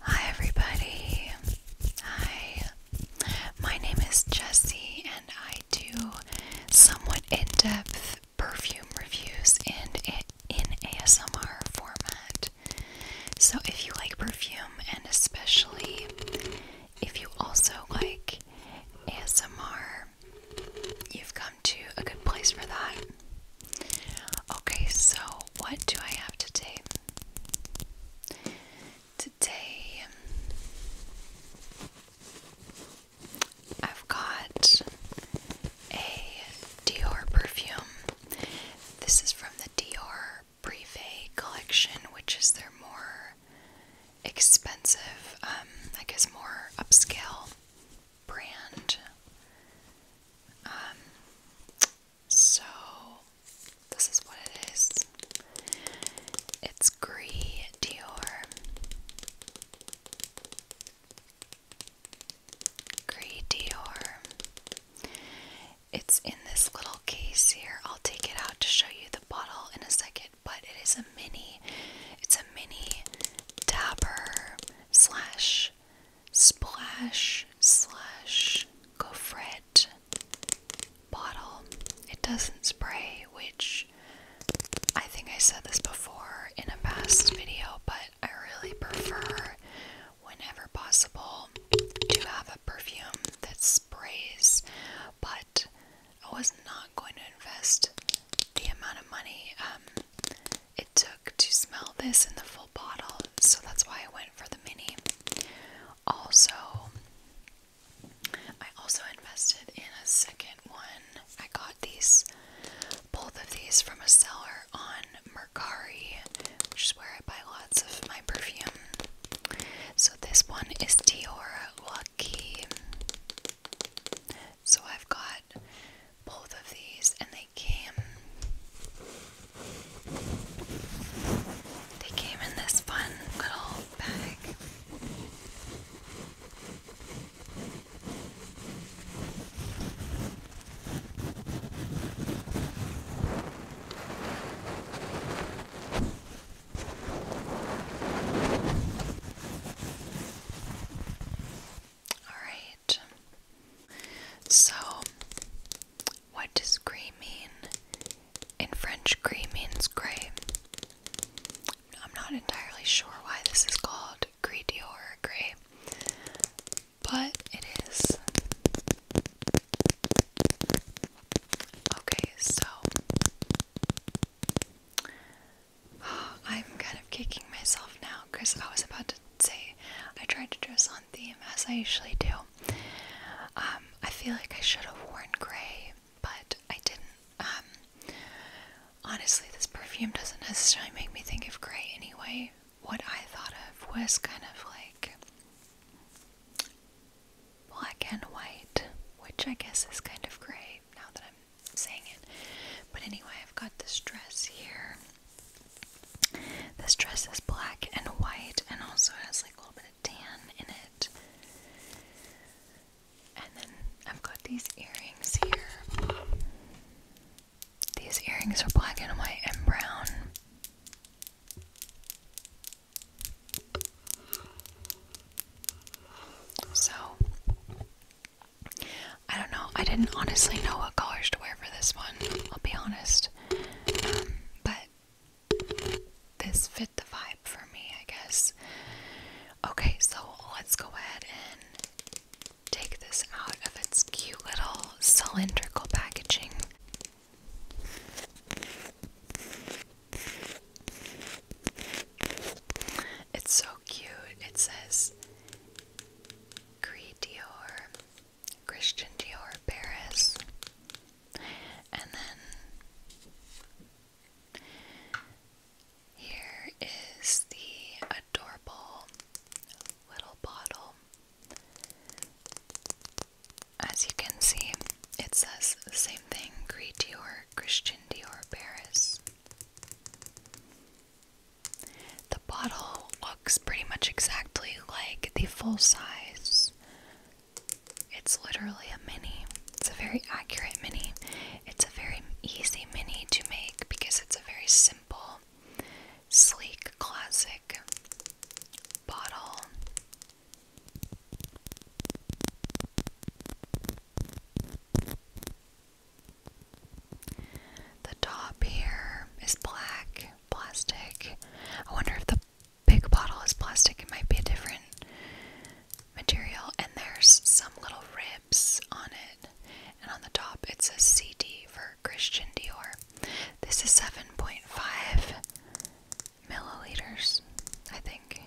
Hi, everybody. Hi. My name is Jessie, and I do somewhat in depth perfume reviews and in ASMR format. So, if you like perfume, and especially if you also like ASMR, you've come to a good place for that. Okay, so what do I have today? Today I've got a Dior perfume. This is from the Dior Privé collection, which is their more expensive, um, I guess more upscale brand. Um, so this is what it is. It's Gree Dior. Gree Dior. It's in this little case here. I'll take it out to show you the bottle in a second, but it is a mini. It's a mini dapper slash splash slash gofret bottle. It doesn't spray, which I think I said this before in a past video, but I really prefer, whenever possible, to have a perfume that sprays. But I was not going to invest the amount of money um, it took to smell this in the full bottle, so that's why I went for the mini. Also, I also invested in a second one. I got these, both of these from a seller on Mercari, which is where I buy lots of my perfume. So this one is Dior Lucky. So I've got both of these, and they they came they came in this fun little bag. All right, so, what does gris mean? In French, gris means gray. I'm not entirely sure why this is called gris Dior gray, but it is. Okay, so I'm kind of kicking myself now because I was about to say. I tried to dress on theme as I usually do. Um, I feel like I should have worn grey, but I didn't. Um, honestly, this perfume doesn't necessarily make me think of grey anyway. What I thought of was kind of like black and white, which I guess is kind of grey now that I'm saying it. But anyway, I've got this dress here. This dress is black and white and also has like a little bit of tan in it. And then I've got these earrings here. These earrings are black and white and brown. So I don't know. I didn't honestly know what colors to wear for this one. I'll be honest. Um, but this fit the vibe for me, I guess. Okay, so let's go ahead and take this out of its cute little cylindrical packaging. It's so cute. It says Creed Dior Christian Dior Paris. And then here is the adorable little bottle. As you can see, it says the same thing, Cree Dior, Christian Dior Paris. The bottle looks pretty much exactly like the full size. It's literally a mini. It's a very accurate mini. It's a very easy mini to make because it's a very simple, sleek, classic bottle. The top here is black plastic. I wonder if the big bottle is plastic, it might be a different material. And there's some little ribs on it. And on the top, it says CD for Christian Dior. This is 7.5 milliliters, I think.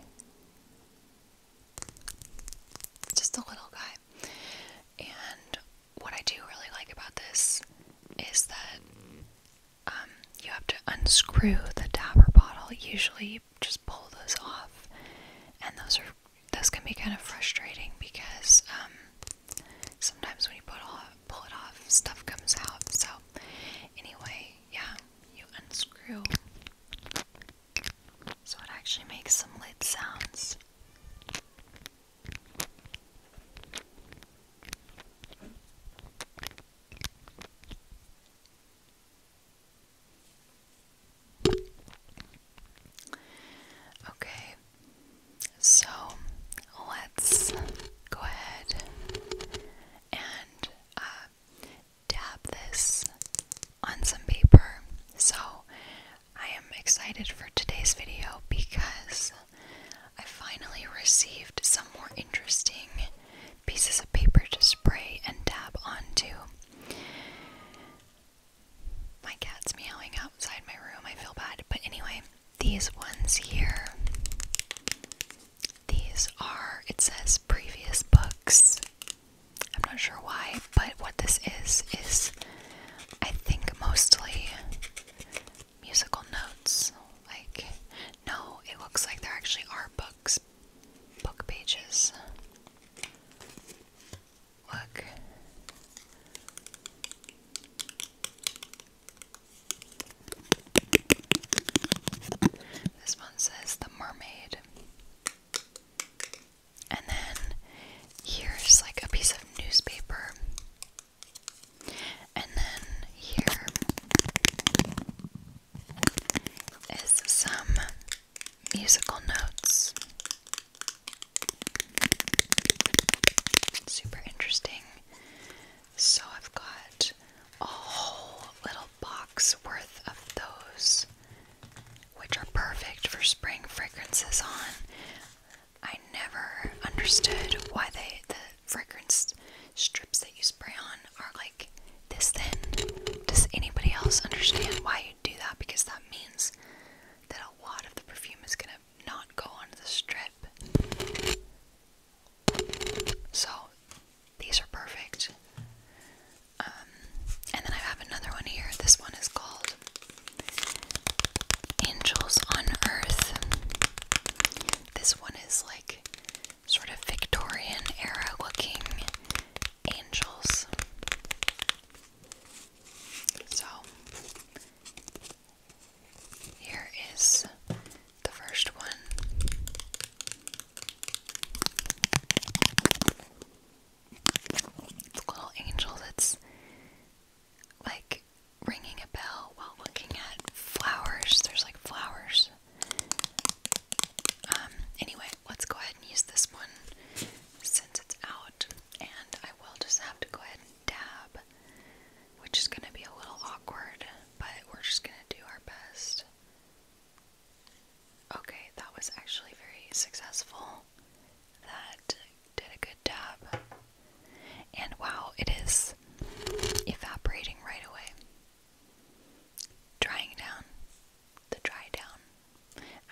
it's Just a little guy. And what I do really like about this is that um, you have to unscrew the dabber bottle. Usually, you just pull those off, and those are those can be kind of frustrating because um, sometimes when you pull it off, stuff comes out. So, anyway, yeah, you unscrew, so it actually makes some lid sounds. Okay, so let's go ahead and uh, dab this on some paper. So I am excited for today's video because I finally received some more interesting pieces of paper to spray and dab onto. My cat's meowing outside my room, I feel bad. But anyway, these ones here. These are, it says previous books. I'm not sure why, but what this is is I think mostly musical notes. Like, no, it looks like there actually are books, book pages. Look. This one says The Mermaid. And then here's like a piece of newspaper. And then here is some musical notes. Super interesting. So I've got a whole little box worth of those, which are perfect for spraying fragrances on. I never understood why they the fragrance strips that you spray on are like this thin. Does anybody else understand why you do that? Because that means that a lot of the perfume is gonna not go on the strip. So these are perfect. Um, and then I have another one here. This one is called Angels on Earth. This one is like sort of Victorian era looking angels. So, here is the first one. It's a little angel that's like ringing a bell while looking at flowers. There's like flowers. Um, anyway, let's go ahead and use this one since it's out, and I will just have to go ahead and dab, which is gonna be a little awkward, but we're just gonna do our best. Okay, that was actually very successful that did a good job. And wow, it is evaporating right away. Drying down. The dry down,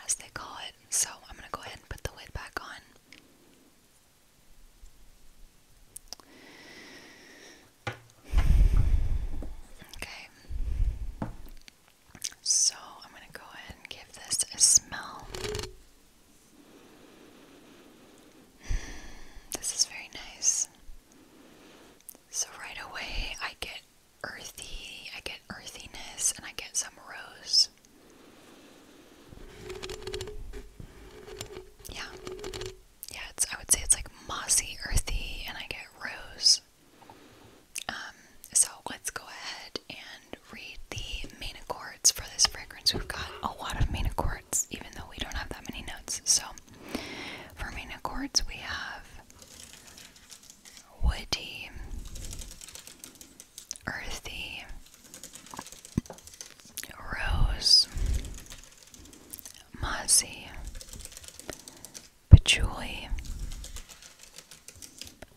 as they call it. So I'm going to go ahead and put the lid back on. Okay. So I'm going to go ahead and give this a smell. This is very nice. So, right away, I get earthy, I get earthiness, and I get some rose. Yeah. Yeah, it's, I would say it's like mossy, earthy, and I get rose. Um, so let's go ahead and read the Manacor for this fragrance. We've got a lot of Mina quarts, even though we don't have that many notes. So, for Mina quarts, we have woody, earthy, rose, mossy, patchouli,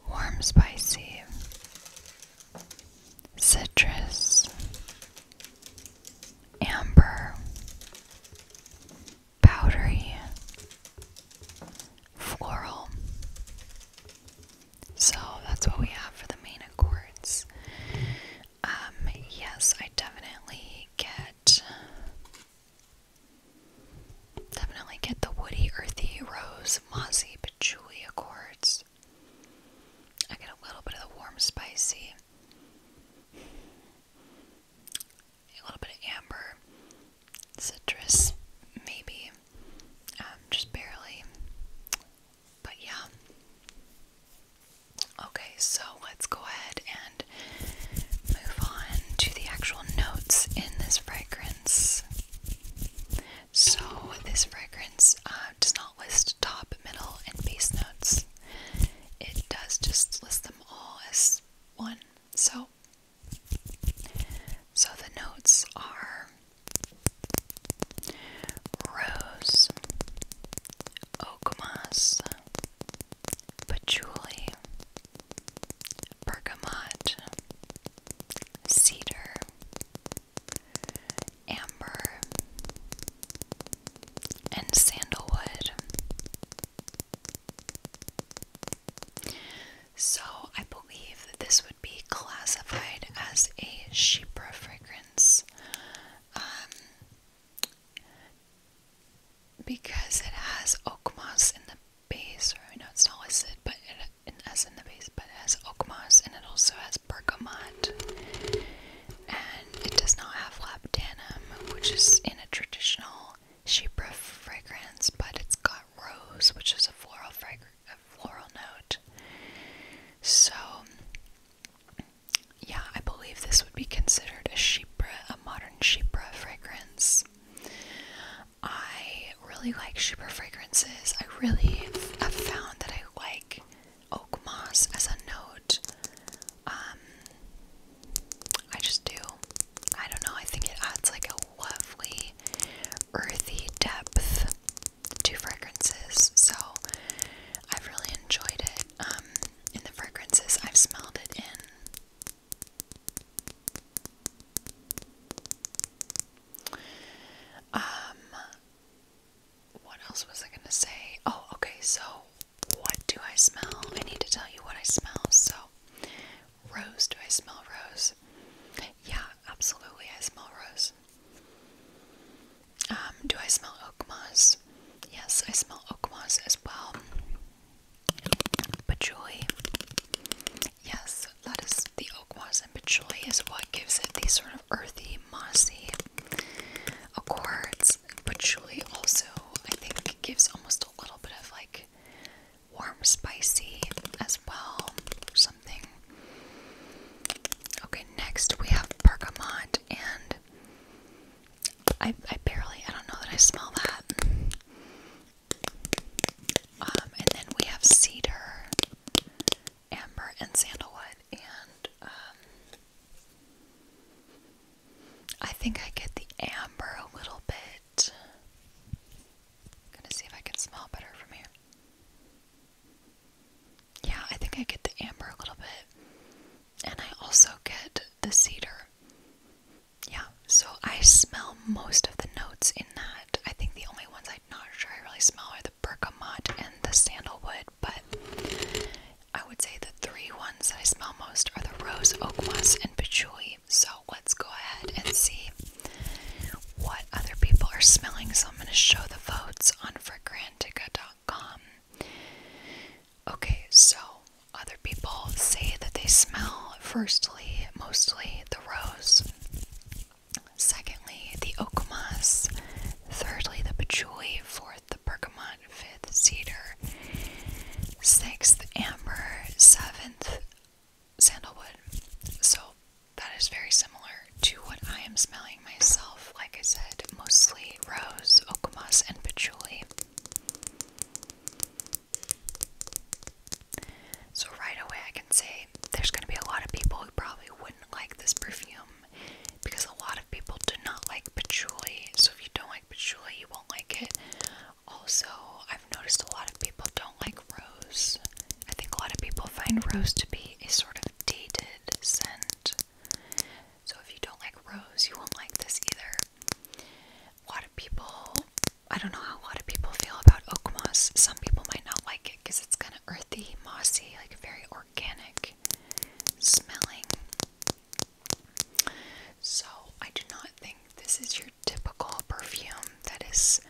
warm spicy, citrus, amber, powdery, floral. So that's what we have for the main accords. Um, yes, I definitely get definitely get the woody earthy rose some mossy patchouli accords. I get a little bit of the warm spicy, a little bit of amber, citrus, maybe, um, just barely. But yeah. Okay, so let's go ahead and move on to the actual notes in this fragrance. So, this fragrance uh, does not list top, middle, and base notes. It does just list them all as one. So, so the notes are rose, oak patchouli, bergamot, cedar, amber, and sandalwood. So, I believe that this would be classified as a Shepra fragrance um, because it has oak moss in the base, or I know it's not listed, but it in, as in the base, but it has oak and it also has bergamot. And it does not have labdanum, which is in a traditional Shibra fragrance, but it's got rose, which is a floral fragrance, floral note. So, yeah, I believe this would be considered a Shibra, a modern Shibra fragrance. I really like super fragrances. I really have found that I like oak moss as a note. Um, I just do. I don't know. I think it adds like a lovely, earthy depth to fragrances. So I've really enjoyed it. Um, in the fragrances I've smelled it in. Um, what else was I gonna say? Oh, okay, so what do I smell? I need to tell you what I smell. So, rose, do I smell rose? Yeah, absolutely, I smell rose. Um, do I smell oak moss? Yes, I smell oak moss as well. But joy. Yes, that is the oak and patchouli is what gives it these sort of earthy, mossy accords. Patchouli also, I think, gives almost a little bit of like warm, spicy as well, something. Okay, next we have bergamot, and I, I barely, I don't know that I smell that. Um, and then we have cedar, amber, and sandalwood. And um, I think I get the amber a little bit. gonna see if I can smell better from here. Yeah, I think I get the amber a little bit. And I also get the cedar. Yeah, so I smell most of the notes in that. I think the only ones I I'm not sure I really smell are the bergamot and the sandalwood, but I would say the three ones I smell most are the rose, oak and patchouli. So let's go ahead and see what other people are smelling. So I'm going to show the votes on fragrantica.com. Okay, so other people say that they smell firstly, mostly the rose. Secondly, the okomas. Thirdly, the patchouli. Fourth, the bergamot. Fifth, cedar. Sixth, amber. Seventh, sandalwood. So that is very similar to what I am smelling myself. Like I said, mostly rose, okomas, and patchouli. So, right away, I can say there's going to be a lot of people who probably wouldn't like this perfume because a lot of people do not like patchouli. So, if you don't like patchouli, you won't like it. Also, I've noticed a lot of people don't like rose. I think a lot of people find rose to be a sort of dated scent. So, if you don't like rose, you won't like this either. A lot of people I don't know how a lot of people feel about oak moss. Some people might not like it because it's kind of earthy, mossy, like very organic smelling. So, I do not think this is your typical perfume that is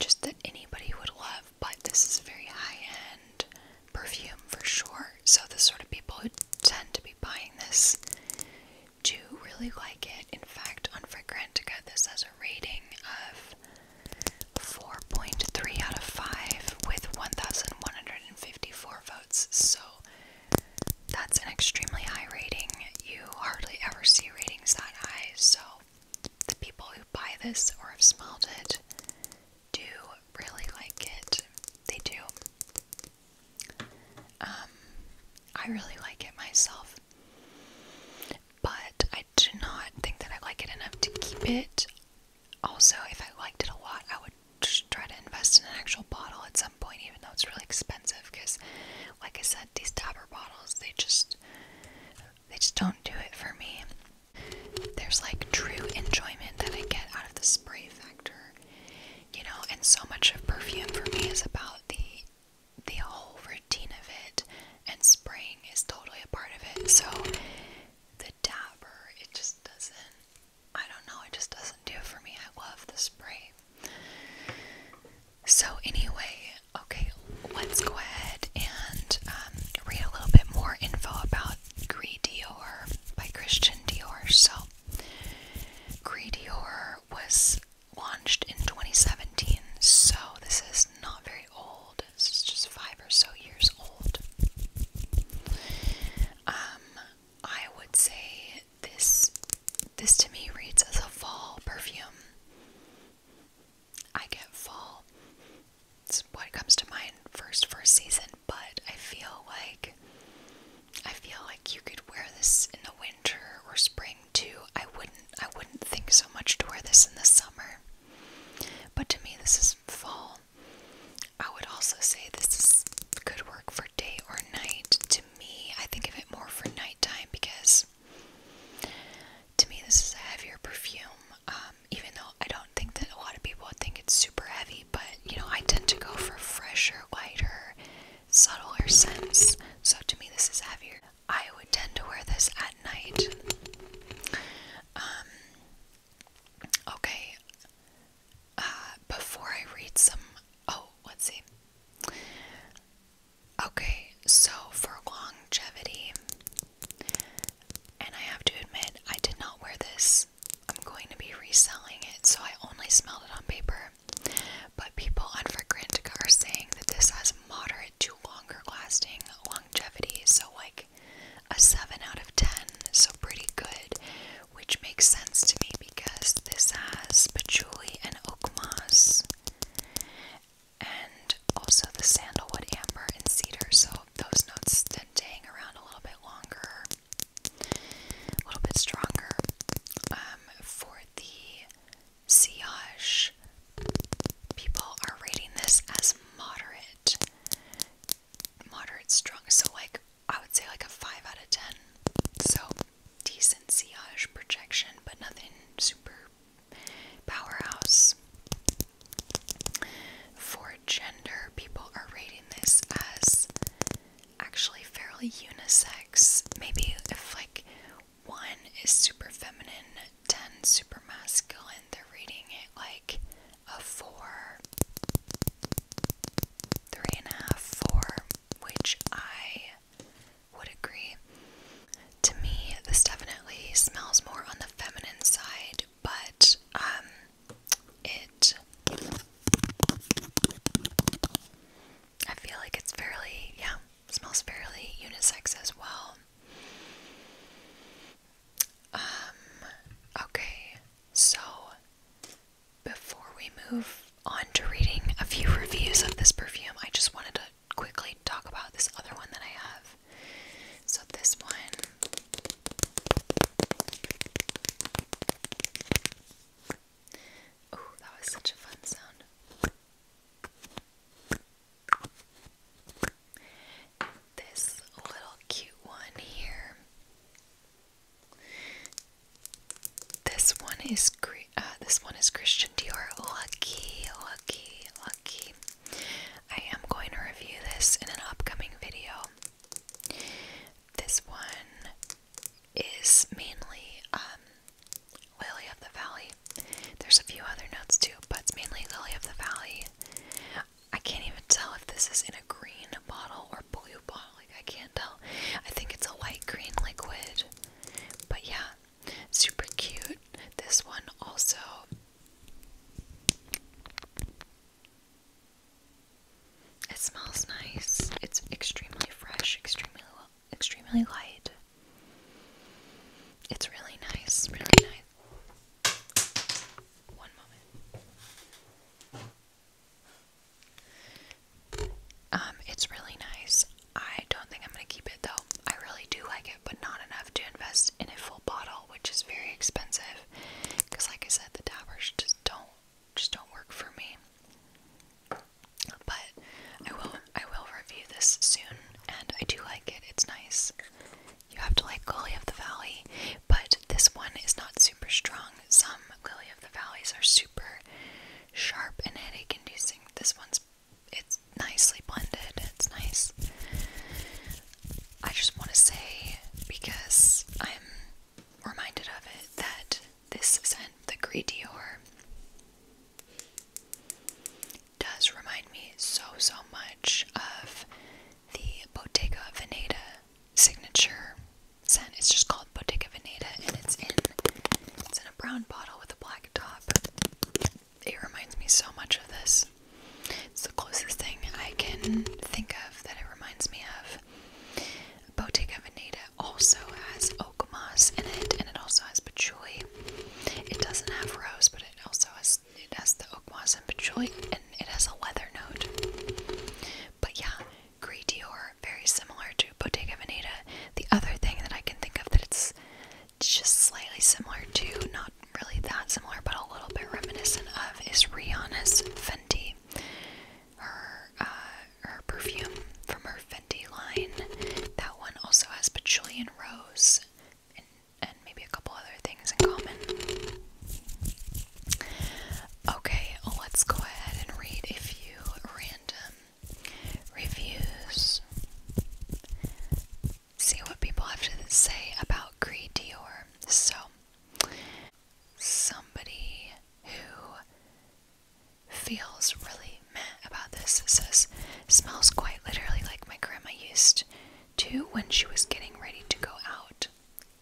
just that anybody would love, but this is very high end perfume for sure. So, the sort of people who tend to be buying this do really like it. In fact, on Fragrantica, this has a rating of 4.3 out of 5 with 1,154 votes. So that's an extremely high rating. You hardly ever see ratings that high. So the people who buy this or have smelled it do really like it. They do. Um, I really like it myself. But I do not think that I like it enough to keep it. Also, if I liked it a lot, I would just try to invest in an actual bottle at some point, even though it's really expensive. Because, like I said, these dabber bottles they just they just don't do it for me. There's like true enjoyment that I get out of the spray factor, you know. And so much of perfume for me is about the the whole routine of it and spraying is totally a part of it. So the dabber, it just doesn't, I don't know, it just doesn't do it for me. I love the spray. So, anyway, okay, let's go ahead and um, read a little bit more info about Gris Dior by Christian Dior. So, Gris Dior was launched in 2017, so this is not very old. This is just five or so years old. Um, I would say this this to me reads as a fall perfume. I get fall. It's what comes to mind first for season, but I feel like I feel like you could wear this in the winter or spring spring too. I wouldn't I wouldn't think so much to wear this in the summer. But to me this is fall. I would also say this is good work for day or night. To me, I think of it more for nighttime because to me this is a heavier perfume. Um, even though I don't think that a lot of people would think it's super heavy, but you know, I tend to go for fresher, lighter, subtler scents. So to me this is heavier. I would tend to wear this at night. Um, okay. Uh, before I read some. Oh, let's see. Okay, so for longevity, and I have to admit, I did not wear this. I'm going to be reselling it, so I only smelled it on paper. But people on Fragrantica are saying that this has moderate to longer lasting longevity. So, like a 7 out of 10, so pretty good, which makes sense to me because this has patchouli and oak moss, and also the sandalwood, amber, and cedar. So, those notes then to hang around a little bit longer, a little bit stronger. Um, for the Siage. People are rating this as moderate. Moderate strong. So like I would say like a 5 out of 10. So decent Siage projection, but nothing super powerhouse. For gender, people are rating this as actually fairly unisex. Maybe if like one is super feminine, ten super masculine. They're reading it like a four, three and a half, four, which I would agree. To me, this definitely smells more on the feminine side, but um, it. I feel like it's fairly, yeah, smells fairly unisex as well. Um, okay, so before we move on to reading a few reviews of this perfume, I just wanted to quickly talk about this other one that I have. So, this one. that was such a fun sound. This little cute one here. This one is uh, this one is Christian Dior. Lucky, lucky, lucky. I am going to review this in an upcoming video. This one is mainly um, Lily of the Valley. There's a few other notes too, but it's mainly Lily of the Valley. I can't even tell if this is in a green bottle or blue bottle. Like I can't tell. I think it's a light green liquid. But yeah, super cute. This one also It smells nice. It's extremely fresh, extremely extremely light. It's really nice, really nice. One moment. Um, it's really nice. I don't think I'm gonna keep it though. I really do like it, but not enough to invest in a full bottle, which is very expensive. Because, like I said, the dabbers just don't just don't work for me. But I will I will review this soon and I do like it. It's nice. You have to like Lily of the Valley, but this one is not super strong. Some Lily of the Valleys are super sharp and headache inducing. This one's it's nicely blended. It's nice. I just want to say because I'm reminded of it that this scent, the Grey Dior, does remind me so, so much of the Bottega Veneta signature scent. It's just called Bottega Veneta and it's in it's in a brown bottle with a black top. It reminds me so much of this. It's the closest thing I can think of that it reminds me of. Bottega Veneta also has oak moss in it and it also has patchouli it doesn't have rose, but it also has it has the oak and patchouli, and it has a leather note. But yeah, Gris Dior, very similar to Bottega Veneta. The other thing that I can think of that it's just slightly similar to, not really that similar, but a little bit reminiscent of, is Rihanna's Fendi, Her, uh, her perfume from her Fendi line. That one also has patchouli and rose, and, and maybe a couple other things in common. Okay, let's go ahead and read a few random reviews. See what people have to say about Creed Dior. So, somebody who feels really meh about this. It says, smells quite literally like my grandma used to when she was getting ready to go out.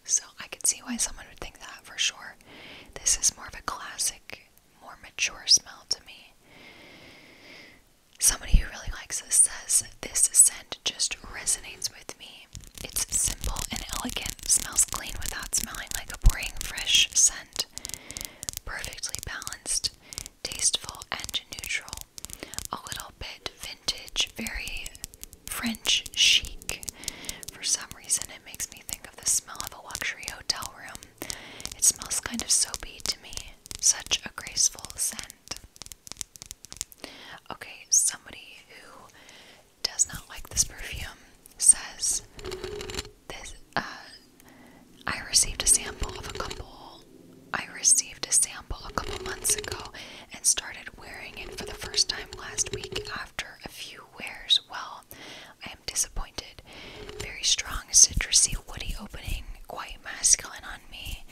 So I could see why someone would think that for sure. This is more of a classic, more mature smell to me. Somebody who really likes this says, This scent just resonates with me. It's simple and elegant, smells clean without smelling like a boring fresh scent. Perfectly balanced tasteful and neutral. A little bit vintage, very French chic. For some reason, it makes me think of the smell of a luxury hotel room. It smells kind of soapy to me. Such a graceful scent. Okay, somebody who does not like this perfume says this uh I received a sample of a couple I received a sample a couple months ago and started wearing it for the first time last week after a few wears. Well, I am disappointed. Very strong citrusy woody opening, quite masculine on me,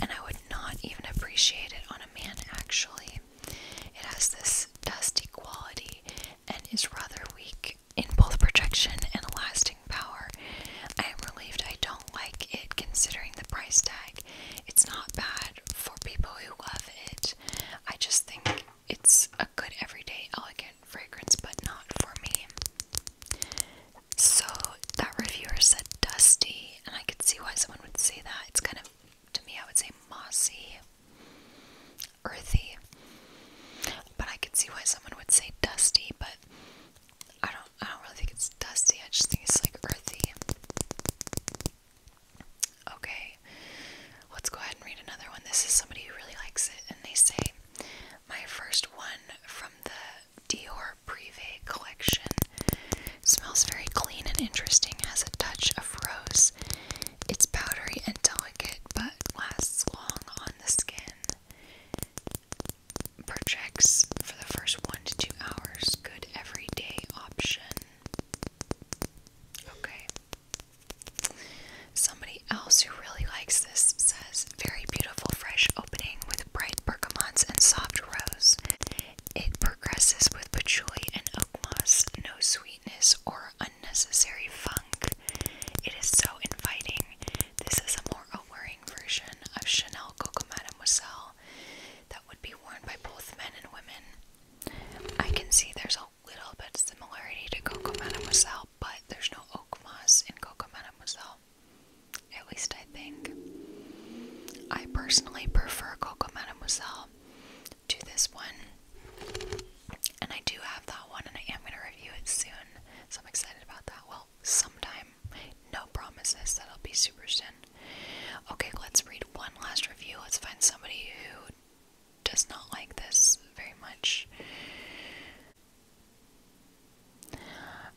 and I would not even appreciate it on a man actually. It has this dusty quality and is rather weak in both projection and lasting power. I am relieved I don't like it considering the price tag. It's not bad for people who love it. I just think it's a good everyday elegant fragrance, but not for me. So that reviewer said dusty, and I could see why someone would say that. It's kind of, to me, I would say mossy, earthy. But I could see why someone would say dusty, but I don't I don't really think it's dusty, I just think it's like earthy. Okay, let's go ahead and read another one. This is somebody who really likes it, and they say, My first one from the Dior Privé collection smells very clean and interesting, has a touch of rose. It's powdery and delicate, but lasts long on the skin projects for the first one to two hours. Good everyday option. Okay. Somebody else who really likes this says very beautiful fresh opening with bright bergamots and soft rose. It progresses with patchouli and oak moss, no sweetness or unnecessary funk. It is so inviting. This is a more alluring version of Chanel Coco Mademoiselle that would be worn by both men and women. I can see there's a little bit similarity to Coco Mademoiselle, but there's no oak in Coco Mademoiselle. At least I think. I personally prefer Coco Mademoiselle to this one. And I do have that one, and I am going to review it soon. So I'm excited about that. Well, sometime. No promises that will be super soon. Okay, let's read one last review. Let's find somebody who does not like this very much.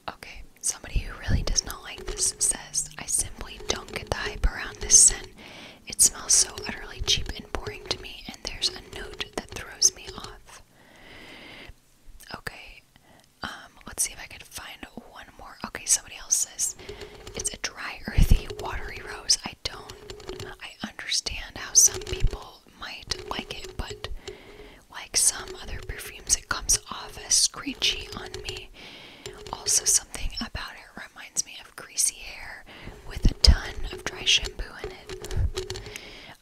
Okay, somebody who really does not like this says, I simply don't get the hype around this scent. It smells so utterly cheap and boring to me, and there's a note that throws me off. Okay, um, let's see if I can find one more. Okay, somebody else says it's a dry, earthy, watery rose. I don't, I understand how some people might like it, but like some other perfumes, it comes off as screechy on me. Also, something about it reminds me of greasy hair with a ton of dry shampoo in it.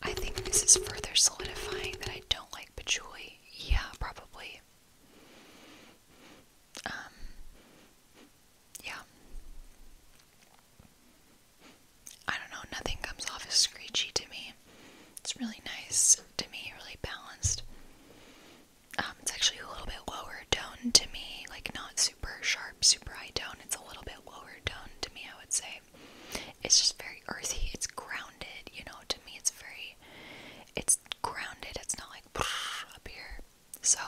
I think this is further solidifying that I don't like patchouli. Yeah, probably. Um, yeah. I don't know, nothing comes off as screechy to me. It's really nice to me, really balanced. Um, it's actually a little bit lower tone to me, like not super sharp, super high tone. It's a little bit lower tone to me, I would say. It's just very earthy. It's grounded, you know. To me, it's very, it's grounded. It's not like up here. So,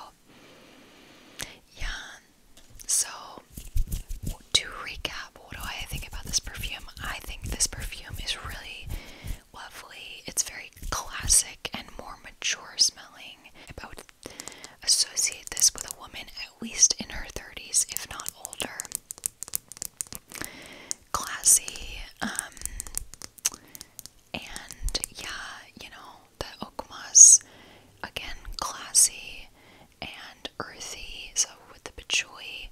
yeah. So, to recap, what do I think about this perfume? I think this perfume is really lovely. It's very classic and more mature smelling. I would associate this with a woman, at least in her 30s, if not older. Classy, um, and yeah, you know, the Okmas, again, classy and earthy. So with the patchouli,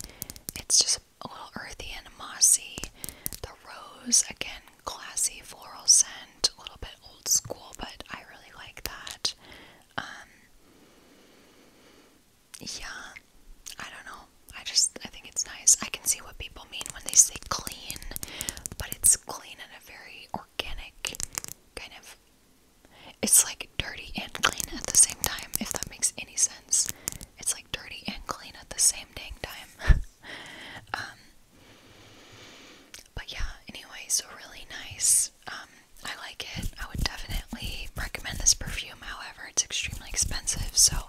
it's just a little earthy and mossy. The rose, again, classy floral scent, a little bit old school, but I really like that. Um, yeah, I don't know. I just I think it's nice. I can see what people mean when they say clean, but it's clean in a very organic kind of. It's like dirty and clean at the same time. If that makes any sense, it's like dirty and clean at the same dang time. Um, but yeah. Anyway, so really nice. Um, I like it. I would definitely recommend this perfume, however, it's extremely expensive, so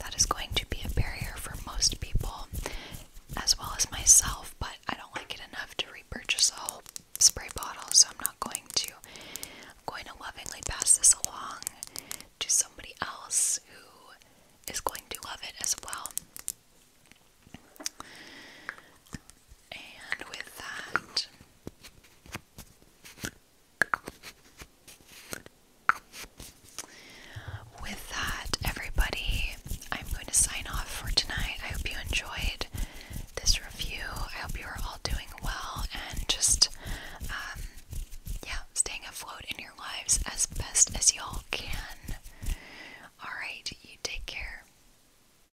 that is going to be a barrier for most people as well as myself, but I don't like it enough to repurchase a whole spray bottle, so I'm not going to. I'm going to lovingly pass this along to somebody else who is going to love it as well. And with that, with that, everybody, I'm going to sign off for tonight. I hope you enjoyed this review. I hope you are all doing well and just, um, yeah, staying afloat in your lives as best as y'all can. Alright, you take care.